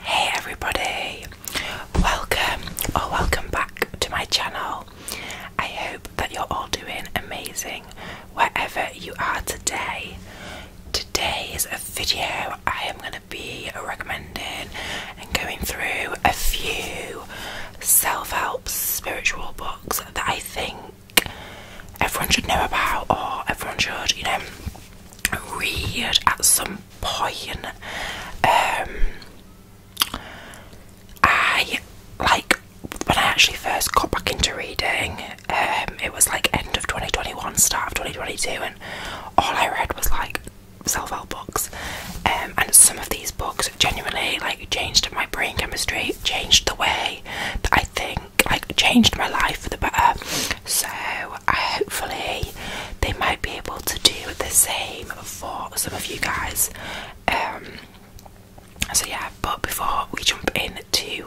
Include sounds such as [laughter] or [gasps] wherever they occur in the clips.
Hey everybody, welcome or welcome back to my channel. I hope that you're all doing amazing wherever you are today. Today is a video I am going to be recommending and going through a few self help spiritual books that I think everyone should know about or everyone should, you know, read at some point um, I like when I actually first got back into reading um, it was like end of 2021 start of 2022 and all I read was like self-help books um, and some of these books genuinely like changed my brain chemistry changed the way that I think like changed my life for the better so hopefully they might be able to do the same for some of you guys. Um, so yeah, but before we jump into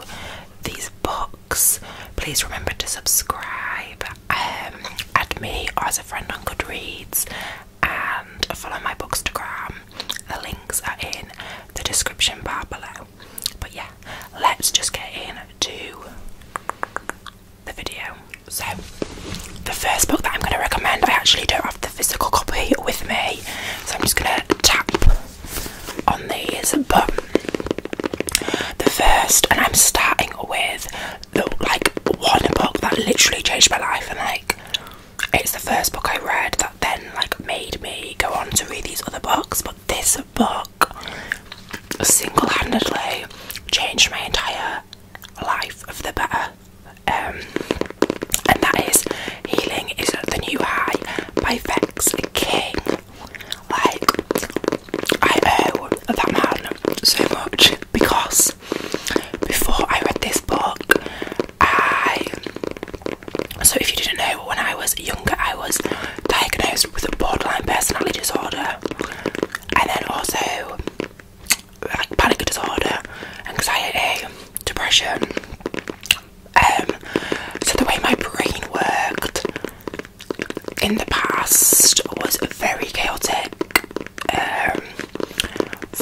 these books, please remember to subscribe, um, add me as a friend on Goodreads, and follow my bookstagram. The links are in the description bar below. But yeah, let's just get into the video. So, the first book that I'm going to recommend, I actually don't have the physical copy with me, so I'm just going to tap on these. But the first, and I'm starting with the, like one book that literally changed my life, and like it's the first book I read that then like made me go on to read these other books. But this book single handedly changed my entire life of the better. Um, and that is Healing is the New High by Vex King. Like, I owe that man so much because before I read this book, I. So, if you didn't know, when I was younger, I was diagnosed with a borderline personality disorder and then also like panic disorder, anxiety, depression. Um, so the way my brain worked in the past was very chaotic, um,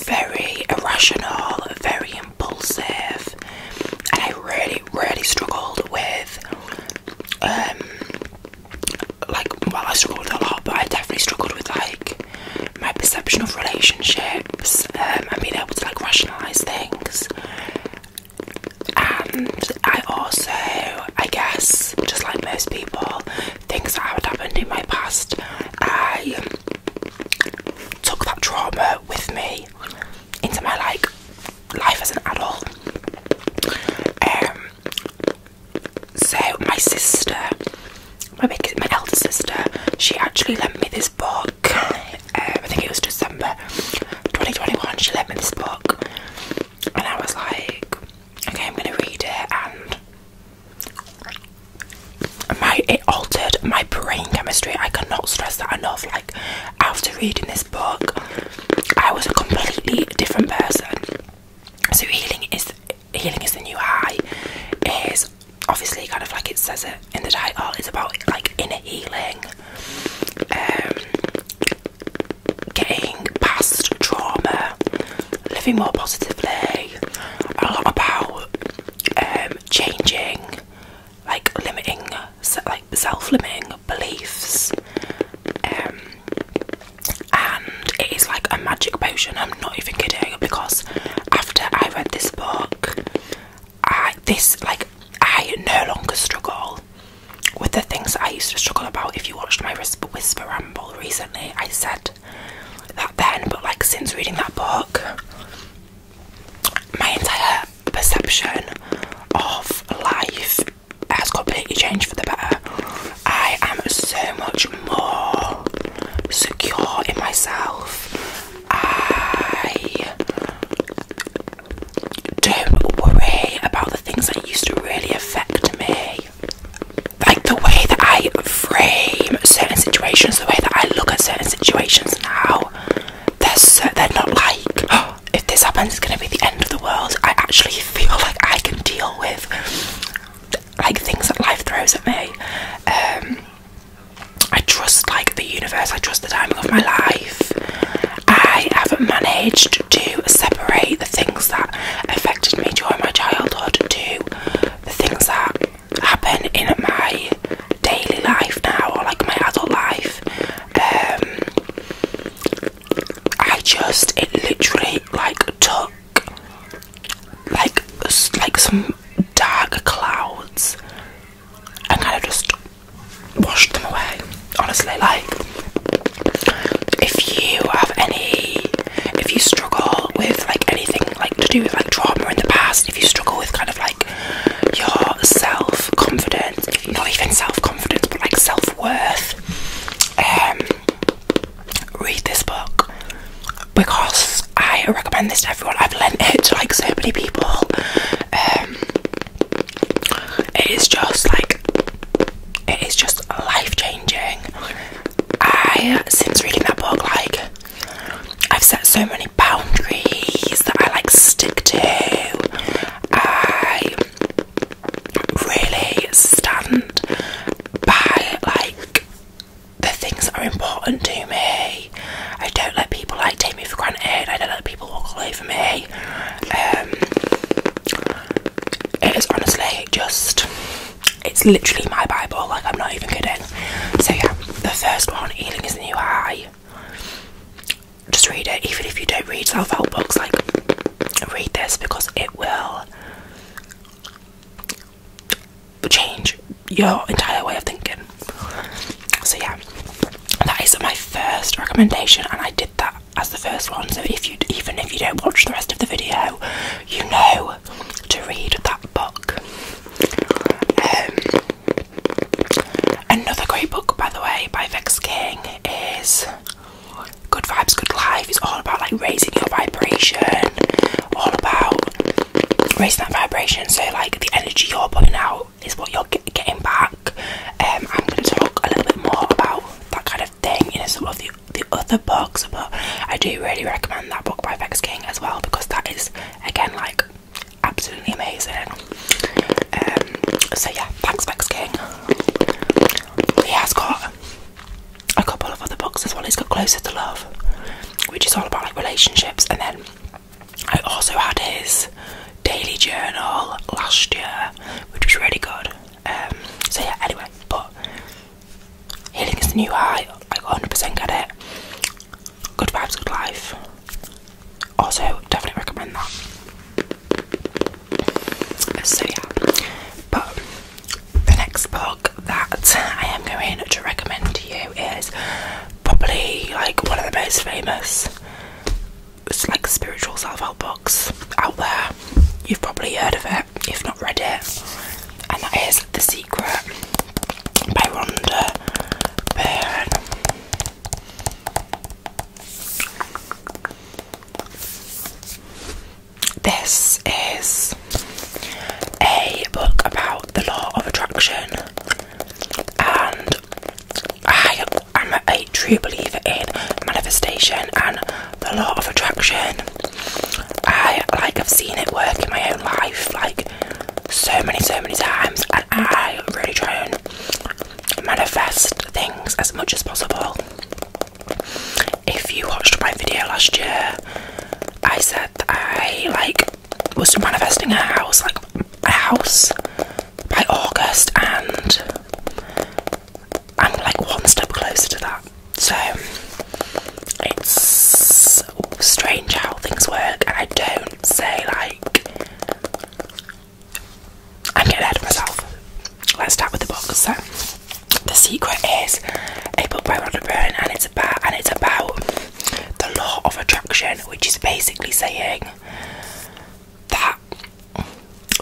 very irrational, very impulsive, and I really, really struggled with um, like well I struggled a lot but I definitely struggled with like my perception of relationships and um, being able to like rationalise things and I also I guess just like most people things that had happened in my past I took that trauma with me into my like life as an adult um, so my sister, my big, sister, she actually lent me this book. Uh, I think it was December 2021. She lent me this book, and I was like, okay, I'm gonna read it, and my it altered my brain chemistry. I cannot stress that enough. Like after reading this book, I was a completely different person. So healing is healing is the new high. It is obviously kind of like it says it in the title. It's about like inner healing, um, getting past trauma, living more positively. A lot about um, changing, like limiting, like self-limiting beliefs. Um, and it is like a magic potion. I'm not even kidding because after I read this book, I this like I no longer struggle with the things I used to struggle about. If you watched my whisper ramble recently, I said that then, but like since reading that book, my entire perception of life has completely changed for the better. I am so much more secure in myself. I don't worry about the things that used to really affect me. Like the way that I frame certain situations, the way that I look at certain situations now, they're, so, they're not like, [gasps] if this happens, it's going to be the end of the world. I actually feel like I can deal with like things that life throws at me. Um, I trust like the universe. I trust the timing of my life. I have not managed to separate the things that affected me during my childhood to the things that happen in my daily life now, or like my adult life. Um, I just it literally like took like like some dark clouds and kind of just washed them away. Honestly, like if you have any, if you struggle with like anything like to do with like trauma in the past, if you struggle with kind of like your self confidence, not even self confidence, but like self worth. Um, read this book because I recommend this to everyone. I've lent it to like so many people. Um, it is just like it is just life changing. I since reading that book, like I've set so many boundaries that I like stick to. I really stand by like the things that are important to me. I don't let people like take me for granted. I don't let people walk all over me. Um, it is honestly just it's literally my Bible, like I'm not even kidding. So yeah, the first one, healing is the new high. Just read it, even if you don't read self-help books, like read this because it will change your entire way of thinking. So, yeah, that is my first recommendation, and I did that as the first one. So, if you even if you don't watch the rest of the video, you know to read that book. Um, another great book, by the way, by Vex King is Good vibes, good life is all about like raising your vibration, all about raising that vibration. So, like, the energy you're putting out is what you're getting back. Um, I'm going to talk a little bit more about that kind of thing in some of the, the other books, but I do really recommend that book by Vex King as well because that is, again, like absolutely amazing. Um, so, yeah, thanks, Vex King. He has got a couple of other books as well. It's got Closer to Love, which is all about like relationships, and then I also had his daily journal last year, which was really good. Um, so yeah, anyway, but healing is the new high. Like 100% get it. Good vibes, good life. Also, definitely recommend that. So yeah, but the next book that I am going to recommend to you is probably like one of the most famous like spiritual self-help books out there. You've probably heard of it, if not read it. And that is The Secret by Rhonda Byrne. This is a book about the law of attraction, and I am a true believer in manifestation and the law of attraction. I like i have seen it work in my own life like so many so many times and I really try and manifest things as much as possible. If you watched my video last year, I said that I like was manifesting a house, like a house by August, and I'm like one step closer to that. So it's strange how things work, and I don't say like I'm getting ahead of myself let's start with the book. So, the secret is a book by Ronda Byrne, and it's about and it's about the law of attraction, which is basically saying that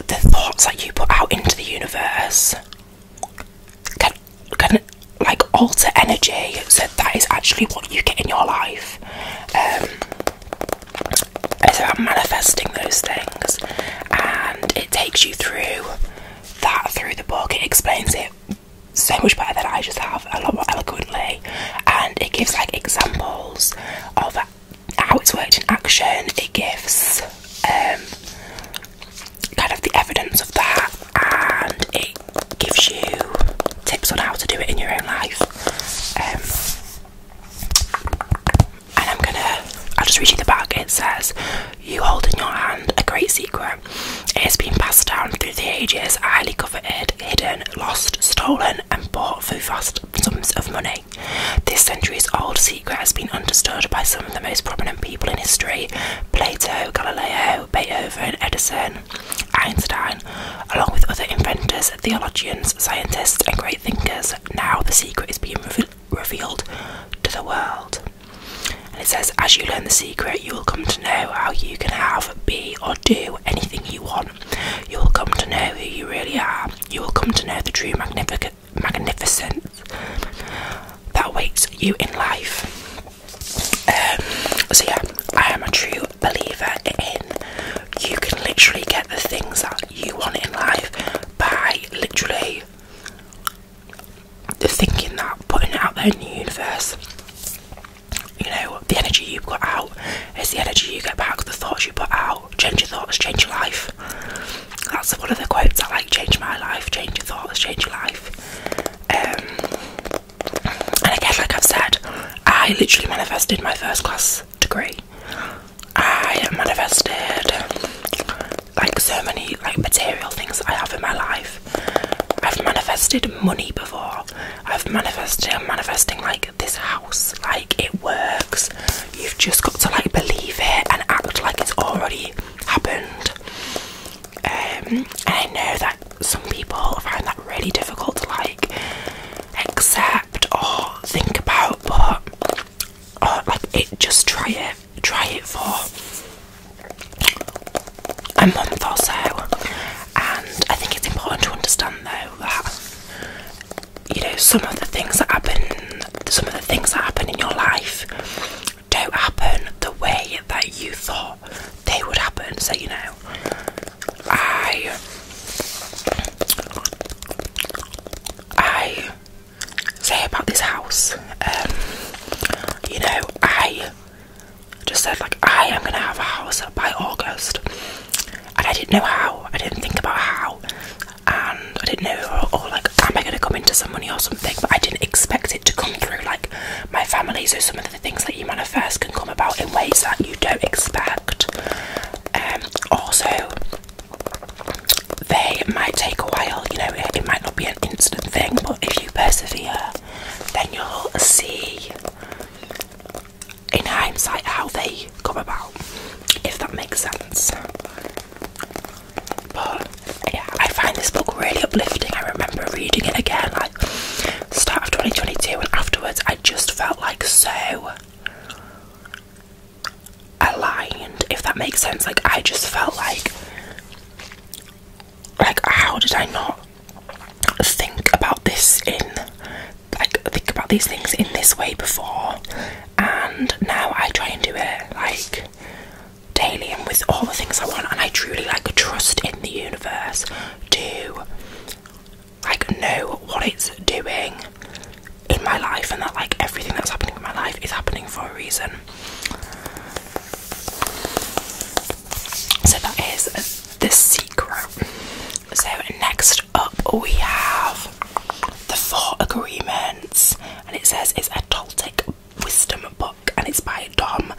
the thoughts that you put out into the universe can can like alter energy. So that is actually what you get in your life. Um, it's about manifesting those things, and it takes you through that through the book it explains it so much better than I just have, a lot more eloquently, and it gives like examples of how it's worked in action. It gives um, kind of the evidence of that, and it gives you tips on how to do it in your own life. Um, and I'm gonna, I'll just read you the back. It says, You hold in your hand a great secret. It has been passed down through the ages, highly coveted, hidden, lost, stolen, and bought for vast sums of money. This centuries old secret has been understood by some of the most prominent people in history Plato, Galileo, Beethoven, Edison, Einstein, along with other inventors, theologians, scientists, and great thinkers. Now the secret is being revealed revealed to the world. And it says, as you learn the secret, you will come to know how you can have, be, or do anything you want. You will come to know who you really are. You will come to know the true magnificent, magnificence that awaits you in life. Um, so, yeah, I am a true believer in you can literally get the things that you want in life by literally thinking that putting it out there in the universe, you know, the energy you put out is the energy you get back. The thoughts you put out change your thoughts, change your life. That's one of the quotes I like: "Change my life, change your thoughts, change your life." Um, and guess, like I've said, I literally manifested my first class degree. I manifested like so many like material things I have in my life. I've manifested money before. I've manifested I'm manifesting like this house. Like it works. You've just got to like believe it and act like it's already happened. Um, and I know that some people find that really difficult to like accept or think about, but uh, just try it try it for a month or so and I think it's important to understand though that you know some of the things that happen some of the things that happen in your life don't happen the way that you thought they would happen so you know I I say about this house. Um, you know, I just said like I am gonna have a house by August, and I didn't know how. I didn't think about how, and I didn't know or, like am I gonna come into some money or something. But I didn't expect it to come through like my family. So some of the things that you manifest can come about in ways that you don't expect. Um, also, they might take a while, you know, it, might not be an instant thing, but if you persevere, then you'll see in hindsight how they come about, if that makes sense. But I find this book really uplifting. I remember reading it again, like start of 2022, and afterwards I just felt like so aligned, if that makes sense. Like, I just felt like, like, how did I not think about this in, like, think about these things in this way before? And now I try and do it, like, daily and with all the things I want, and I truly, like, trust in the universe to, like, know what it's doing in my life and that like everything that's happening in my life is happening for a reason so that is the secret. So next up we have the Four Agreements, and it says it's a Toltec wisdom book, and it's by Dom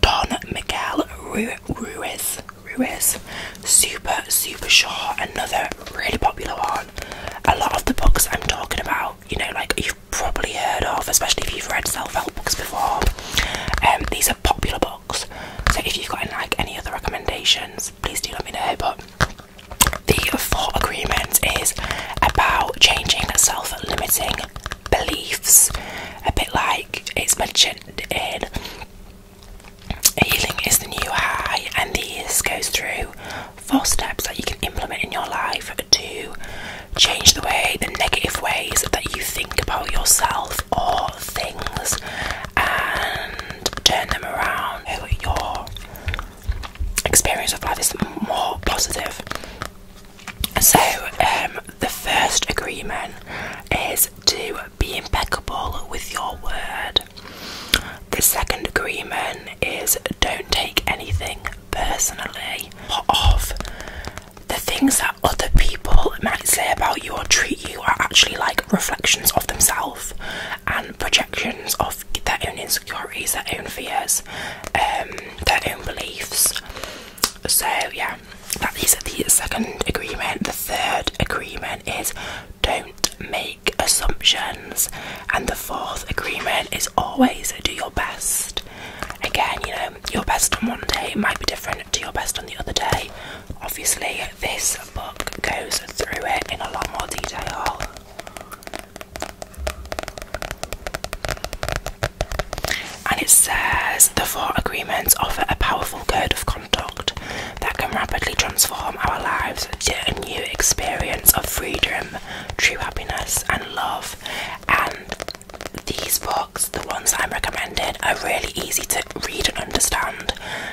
Don Miguel Ruiz. Ruiz, super super short. Another really popular one. A lot of the books I'm talking about you know, like you've probably heard of, especially if you've read self-help books before. Um, these are popular books, so if you've got like any other recommendations, please do let me know. But the thought agreement is about changing self-limiting beliefs, a bit like it's mentioned in. Healing is the new high, and this goes through four steps that you can implement in your life to change the way, the negative ways that you think about yourself or things and turn them around. So your experience of life is more positive. So, um, the first agreement is to be impeccable with your word. The second agreement is don't take anything personally of the things that other people might say about you or treat you are actually like reflections of themselves and projections of their own insecurities, their own fears, um, their own beliefs. So yeah, that is the second agreement. The third agreement is don't make assumptions and the fourth agreement is always do your best. Again, you know, your best on one day might be different to your best on the other day. Obviously, this book goes through it in a lot more detail. And it says the four agreements offer a powerful code of conduct that can rapidly transform our lives to a new experience of freedom True Happiness and Love. And these books, the ones I'm recommending, are really easy to read and understand.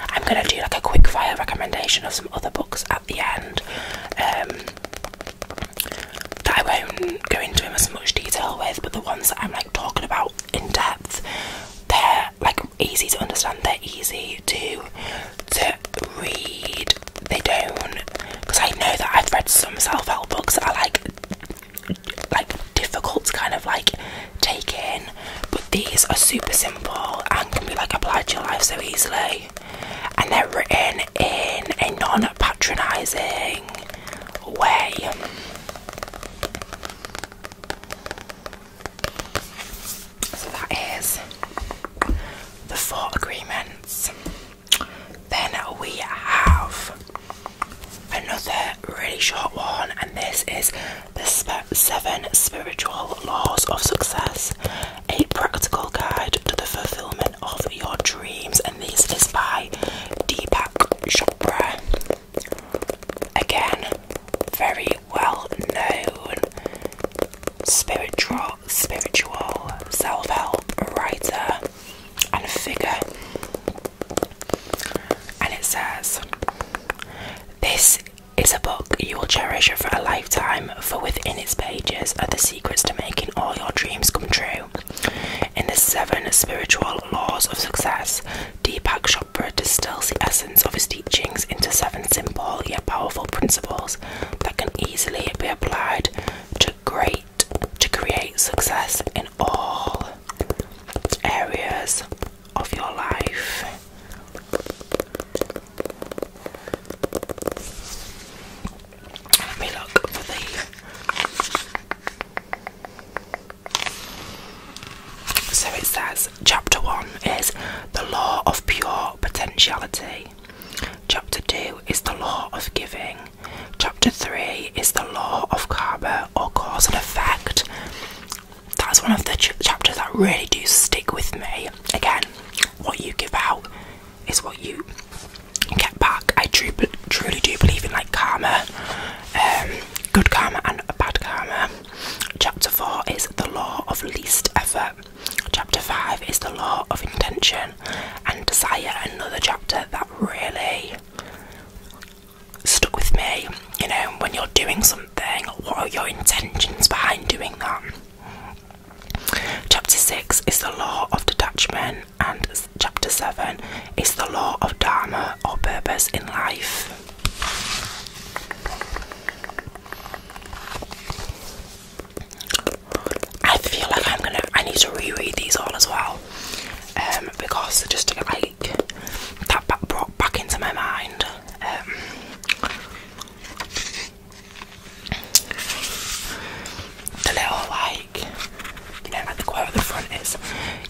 I'm gonna do like a quick fire recommendation of some other books at the end. Um, that I won't go into in as much detail with, but the ones that I'm like talking about in depth, they're like easy to understand, they're easy to to read, they don't. Because I know that I've read some self-help books that are like, like difficult to kind of like take in, but these are super simple and can be like applied to your life so easily. And they're written in a non-patronising way. So that is the four agreements. Then we have another really short one, and this is the seven spiritual laws of success, a practical guide to the fulfillment of your dreams. And this is by Deepak Chopra. Again, very well known spiritual spiritual self-help writer and figure and it says this is a book you will cherish for a lifetime for within its pages are the secrets to making all your dreams come true in the seven spiritual laws of success deepak chopra distills the essence of his teachings into seven simple yet powerful principles that can easily be applied to Great to create success in all areas of your life. So it says, Chapter 1 is the law of pure potentiality, Chapter 2 is the law of giving, Chapter 3 is the law of karma or cause and effect. That's one of the chapters that really do stick with me. Again, what you give out is what you get back. I tru truly do believe in like karma, um, good karma and bad karma. Chapter 4 is the law of least effort. Chapter 5 is the law of intention and Desire, another chapter that really stuck with me. You know, when you're doing something, what are your intentions behind doing that? Chapter 6 is the law of detachment, and chapter 7 is the law of dharma or purpose in life. I feel like I'm gonna I need to reread these all as well. Um because just like that brought back into my mind. Um the little like you know like the quote at the front is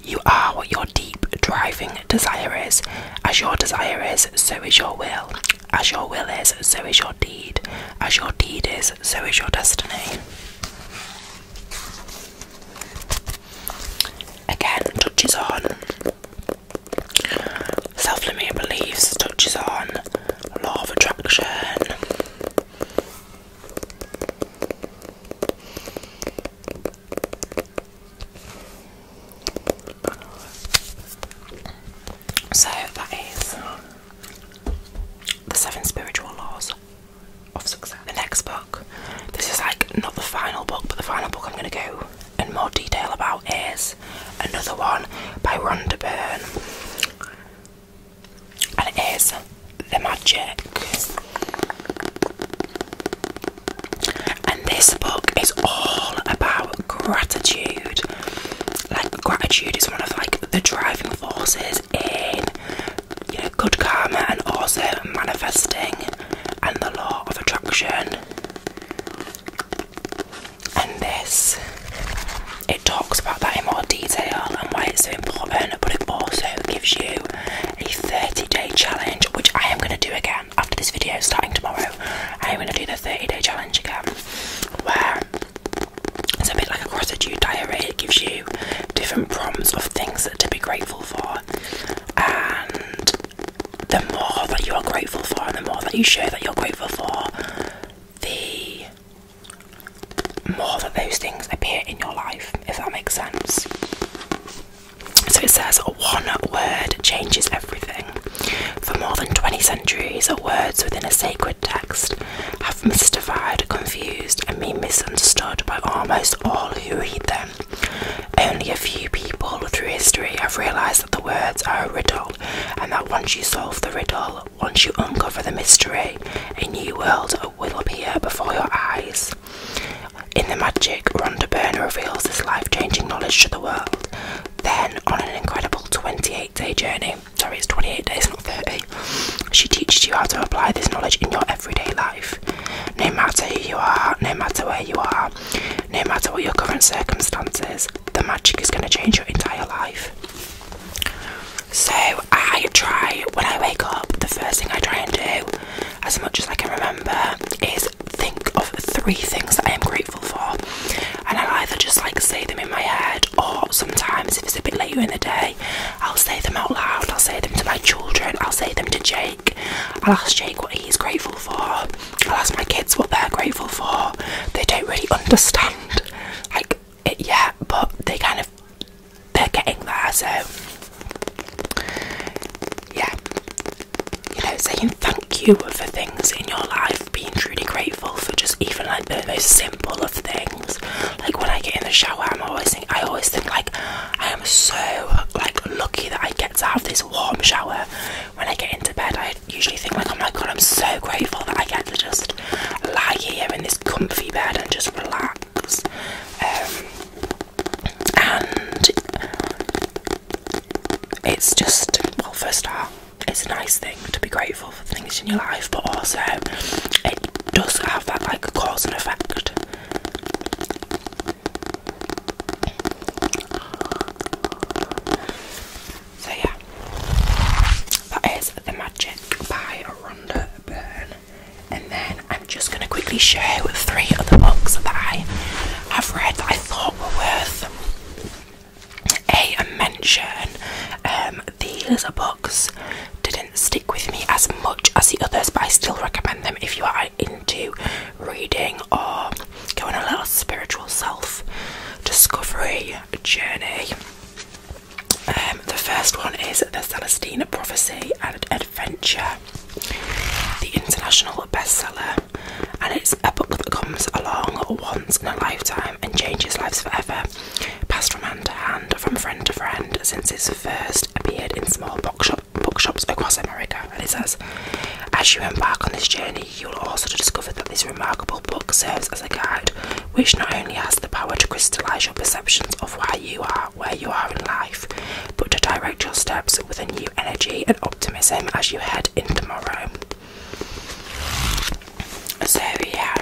you are what your deep driving desire is. As your desire is, so is your will. As your will is, so is your deed. As your deed is, so is your destiny. Again, touches on self limiting beliefs, touches on law of attraction. So that is the Seven Spiritual Laws of Success. The next book, this is like not the final book, but the final book I'm going to go in more detail about is another one by Rhonda Byrne, and it is The Magic. And this book is all about gratitude. Like gratitude is one of like the driving forces in good karma and also manifesting and the law of attraction. And this it talks about that in more detail and why it's so important, but it also gives you a 30-day challenge, which I am gonna do again after this video starting tomorrow. I am gonna do the 30-day challenge again where it's a bit like a gratitude diary, it gives you different prompts of things to be grateful for. And the more that you are grateful for, and the more that you show that you're grateful for, the more that those things appear in your life, if that makes sense. So it says one word changes everything. For more than 20 centuries, words within a sacred text have mystified, confused, and been misunderstood by almost all who read them. Only a few people through history have realised that the words are a riddle, and that once you solve the riddle, once you uncover the mystery, a new world will appear before your eyes. In The Magic, Ronda Byrne reveals this life changing knowledge to the world. Then, on an incredible 28 day journey, sorry, it's 28 days, not 30. She teaches you how to apply this knowledge in your everyday life. No matter who you are, no matter where you are, no matter what your current circumstances, the magic is going to change your entire life. So, I try when I wake up, the first thing I try and do, as much as I can remember, is think of three things that I am grateful for, and i either just like say them in my head or oh, sometimes if it's a bit later in the day, I'll say them out loud. I'll say them to my children. I'll say them to Jake. I'll ask Jake what he's grateful for. I'll ask my kids what they're grateful for. They don't really understand like it yet, but they kind of they're getting there. So yeah, you know, saying thank you for things in your life, being truly grateful for just even like the most simple full of things. Like when I get in the shower, I'm always think I always think like I am so like lucky that I get to have this warm shower. When I get into bed, I usually think like, oh my god, I'm so grateful that I get to just lie here in this comfy bed and just relax. Um, and it's just well, first off, it's a nice thing to be grateful things in your life, but also it does have that like cause and effect. So yeah, that is the magic by Rhonda Byrne, and then I'm just gonna quickly show three other books that I have read that I thought were worth a mention. Um, these are books stick with me as much as the others, but I still recommend them if you are into reading or going on a little spiritual self discovery journey. Um, the first one is The Celestine Prophecy and Adventure, the international bestseller, and it's a book that comes along once in a lifetime and changes lives forever passed from hand to hand, from friend to friend, since its first appeared in small bookshops across America. And it says, As you embark on this journey, you will also discover that this remarkable book serves as a guide, which not only has the power to crystallize your perceptions of why you are where you are in life, but to direct your steps with a new energy and optimism as you head in tomorrow. So, yeah,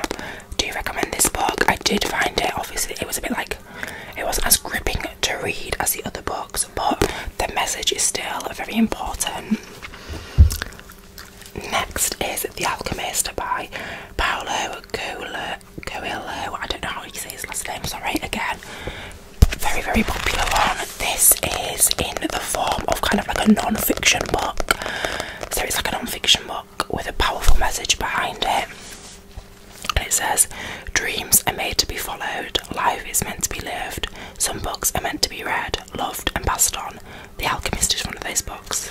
do you recommend this book? I did find it, obviously, it was a bit like it was as gripping to read as the other books, but the message is still very important. Next is The Alchemist by Paolo Coelho. I don't know how you say his last name, sorry, again. Very, very popular one. This is in the form of kind of like a non fiction book. So it's like a non fiction book with a powerful message behind it. it says, Dreams are made to be followed, life is meant to be lived, some books are meant to be read, loved, and passed on. The Alchemist is one of those books.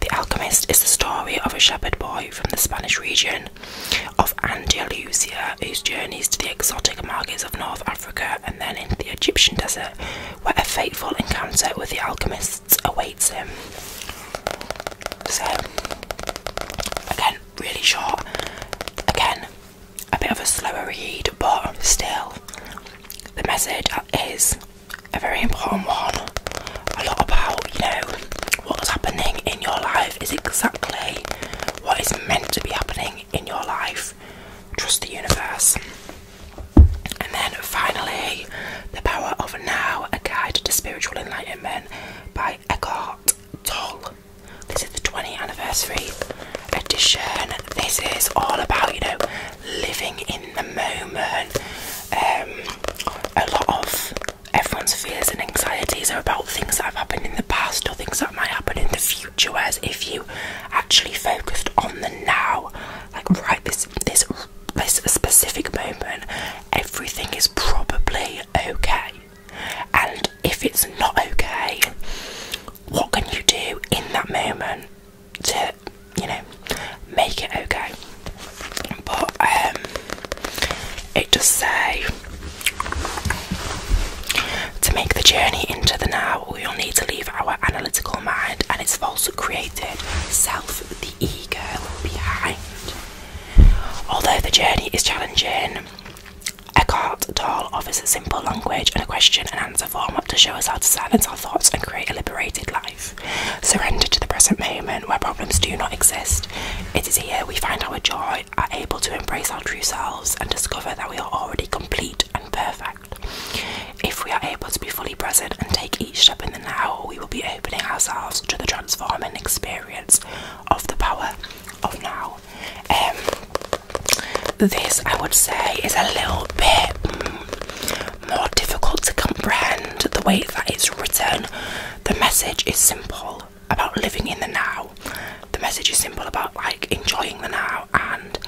The Alchemist is the story of a shepherd boy from the Spanish region of Andalusia whose journeys to the exotic markets of North Africa and then into the Egyptian desert, where a fateful encounter with the alchemist awaits him. So, again, really short. Again, a bit of a slower read, but still, the message is a very important one. A lot about, you know, what's happening in your life is exactly what is meant to be happening in your life. Trust the universe. And then finally, The Power of Now A Guide to Spiritual Enlightenment by Eckhart Tolle. This is the 20th anniversary edition. This is all about, you know, living in the moment. Um, a lot of everyone's fears and anxieties are about things that have happened in the past or things that might happen in the future. Whereas if you actually focused on the now, like right this this this specific moment, everything is probably okay. And if it's not okay, what can you do in that moment to, you know, make it okay? But um, it does say to make the journey into the now, we'll need to leave our analytical mind and its false created self the ego behind. Although the journey is challenging, Eckhart Tolle offers a simple language and a question and answer format to show us how to silence our thoughts and create a liberated life. Surrender to the present moment where problems do not exist. It is here we find our joy, are able to embrace our true selves, and discover that we are already complete and perfect. If we are able to be fully present and take each step in the now, we will be opening ourselves to the transforming experience of the power of now. Um, this, I would say, is a little bit mm, more difficult to comprehend the way that it's written. The message is simple about living in the now. The message is simple about like enjoying the now and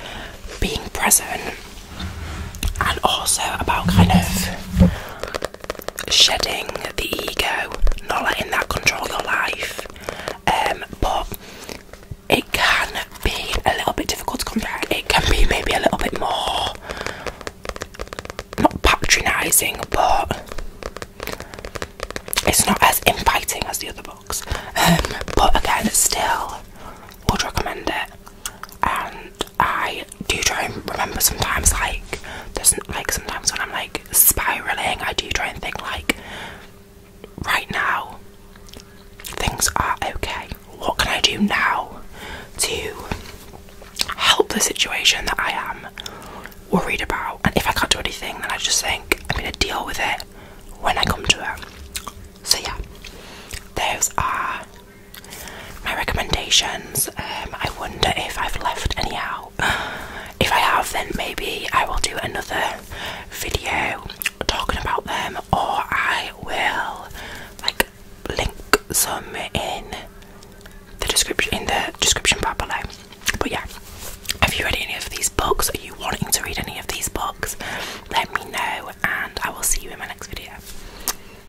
being present, and also about kind of shedding the ego, not letting that control your life. Um, but it can be a little bit difficult to compare. It can be maybe a little bit more not patronising, but it's not as inviting as the other books. Um, but again, still would recommend it and I do try and remember sometimes like there's like sometimes when I'm like spiraling I do try and think like right now things are okay. What can I do now to help the situation that I am worried about? And if I can't do anything then I just think I'm gonna deal with it when I come to it. So yeah, those are my recommendations. Um, I wonder if I've left any out. [sighs] If I have, then maybe I will do another video talking about them, or I will like link some in the description in the description bar below. But yeah, have you read any of these books? Are you wanting to read any of these books? Let me know, and I will see you in my next video.